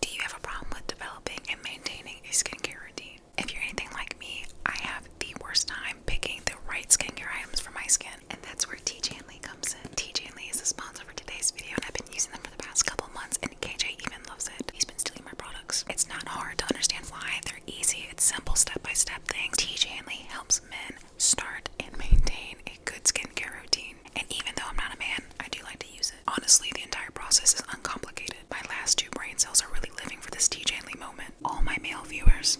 Do you have a problem with developing and maintaining a skincare routine? If you're anything like me, I have the worst time picking the right skincare items for my skin, and that's where TJ and Lee comes in. TJ and Lee is a sponsor for today's video, and I've been using them for the past couple months, and KJ even loves it. He's been stealing my products. It's not hard to understand why. They're easy. It's simple step-by-step -step things. TJ and Lee helps men start and maintain a good skincare routine. And even though I'm not a man, I do like to use it. Honestly, the entire process is uncomplicated. My last two brain cells are really living for this TJ Lee moment. All my male viewers,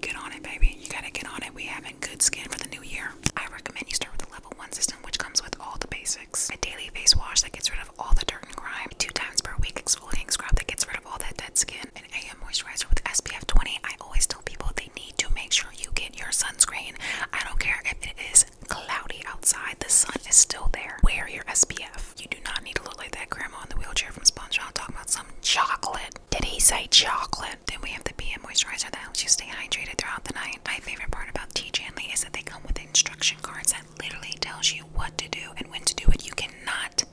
get on it, baby. You gotta get on it. We having good skin for the new year. I recommend you start with the level one system, which comes with all the basics. A daily face wash that gets rid of all the dirt and grime. Two times per week exfoliating scrub that gets rid of all that dead skin. An AM moisturizer with SPF 20. I always tell people they need to make sure you get your sunscreen. I don't care if it is cloudy outside, the sun is still there. Wear your SPF. You do not need to look like that grandma in the wheelchair from SpongeBob talking about some chocolate. Did he say chocolate? Then we have the PM moisturizer that helps you stay hydrated throughout the night. My favorite part about TJ and Lee is that they come with instruction cards that literally tells you what to do and when to do it. You cannot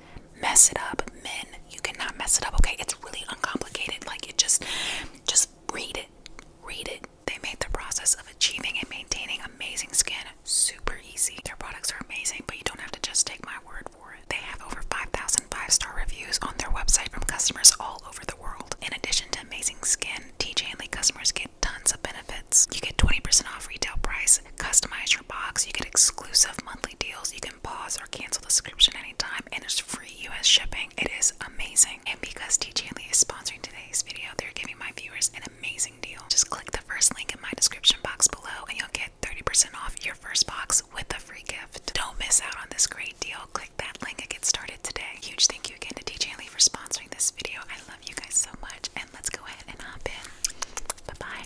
mess it up. Men, you cannot mess it up, okay? It's really uncomplicated. Like it just just read it. Read it. They made the process of achieving and maintaining amazing skin super easy. Their products are amazing, but you don't have to just take my word for it. They have over 5,000 five-star reviews on their website from customers all over the world. In addition to amazing skin, TJ Lee customers get tons of benefits. You get 20% off retail price, customize your box, you get exclusive monthly deals, you can pause or cancel the subscription anytime, and it's free US shipping. It is amazing. And because TJ Lee is sponsoring today's video, they're giving my viewers an amazing deal. Just click the first link in my description box below and you'll get 30% off your first box with a free gift. Don't miss out on this great deal. Click that link and get started today. Huge thank you again to TJ Lee for sponsoring this video. I love you guys so much and let's go ahead and hop in. Bye-bye.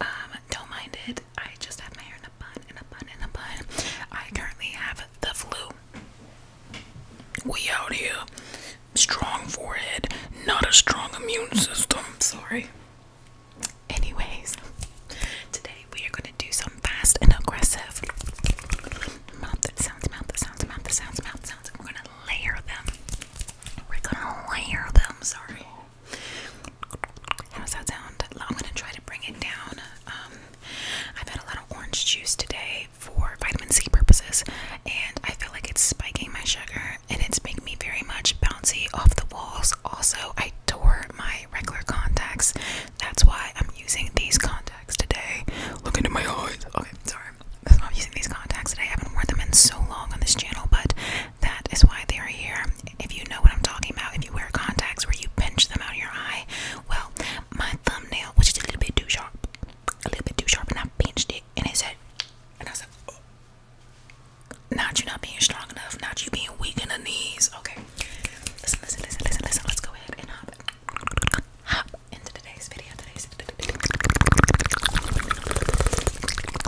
Um, don't mind it. I just have my hair in a bun, in a bun, in a bun. I currently have the flu. We out here. Strong forehead, not a strong immune system. Sorry. Anyways, today we are going to do some fast and aggressive mouth that sounds, mouth that sounds, mouth that sounds, mouth sounds. We're going to layer them. We're going to layer them. Sorry. How does that sound? I'm gonna try to bring it down. Um, I've had a lot of orange juice today for vitamin C purposes, and I feel like it's spiking my sugar and it's making me very much bouncy off the walls. Also, I tore my regular contacts. That's why I'm using these contacts today. Look into my eyes. Okay, sorry. I'm using these contacts today. I haven't worn them in so long on this channel, but that is why they are here. If you know what I'm talking about, if you wear contacts where you pinch them out of your eye, well, my thumbnail was just a little bit too sharp, a little bit too sharp, and I pinched it, and it said, and I said, oh. not you not being strong enough, not you being weak in the knees. Okay, listen, listen, listen, listen, listen. Let's go ahead and hop, hop into today's video. Today's the background, the background,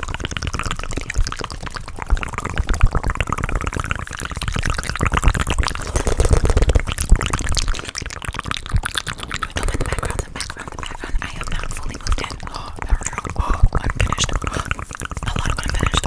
the background. I have not fully moved in. Oh, oh unfinished. A lot of unfinished.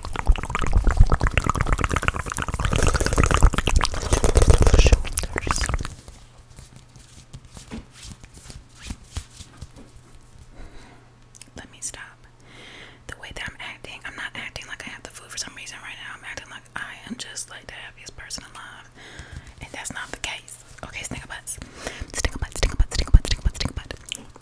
Let me stop. The way that I'm acting, I'm not acting like I have the flu for some reason right now. I'm acting like I am just like the happiest person alive. And that's not the case. Okay, stinker butts. Stinker butt, stinker butt, stinker butt, stinker butt, stinker butt.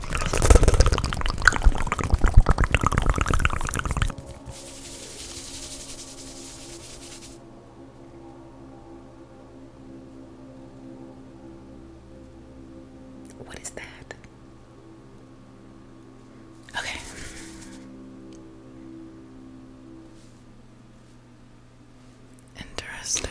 What is that? Okay. Interesting.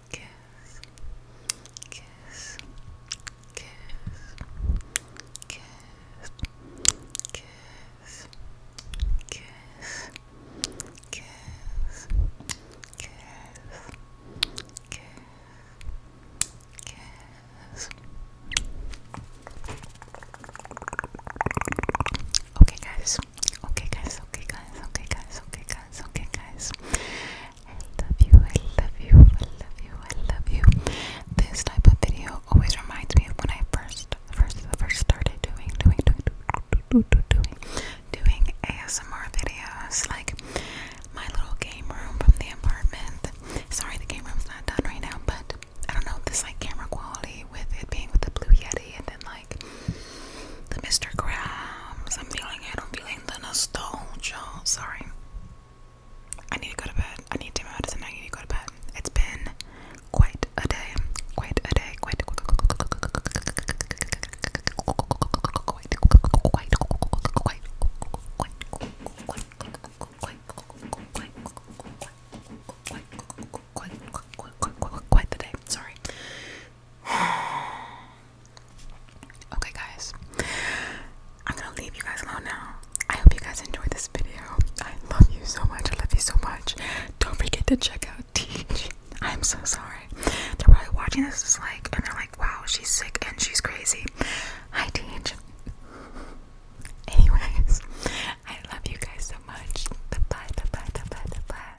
kiss, kiss, kiss, kiss, kiss, kiss, kiss, kiss. Kiss, kiss. Okay guys, okay guys, okay guys, okay guys, okay guys, okay guys. I love you, I love you, I love you, I love you. This type of video always reminds me of when I first, first, first started doing, doing, doing, doing, doing, doing ASMR videos. Like my little game room from the apartment. Sorry, the game room is not done right now, but I don't know this like camera quality with it being with the Blue Yeti and then like the Mr. Krabs. I'm feeling it. I'm feeling the nostalgia. Sorry. I need to go to bed. I need to medicine. I need to go to bed. It's been quite a day. Quite a day. Quite quite quite quite quite quite quite quite quite quite the day. Sorry. okay, guys, I'm gonna leave you guys alone now. I hope you guys enjoyed this video. I love you so much. I love you so much. Don't forget to check out Teach. I'm so sorry. They're probably watching this is like, and they're like, wow, she's sick and she's crazy. Hi, Teach. Anyways, I love you guys so much. Bye bye, bye bye, bye bye, bye.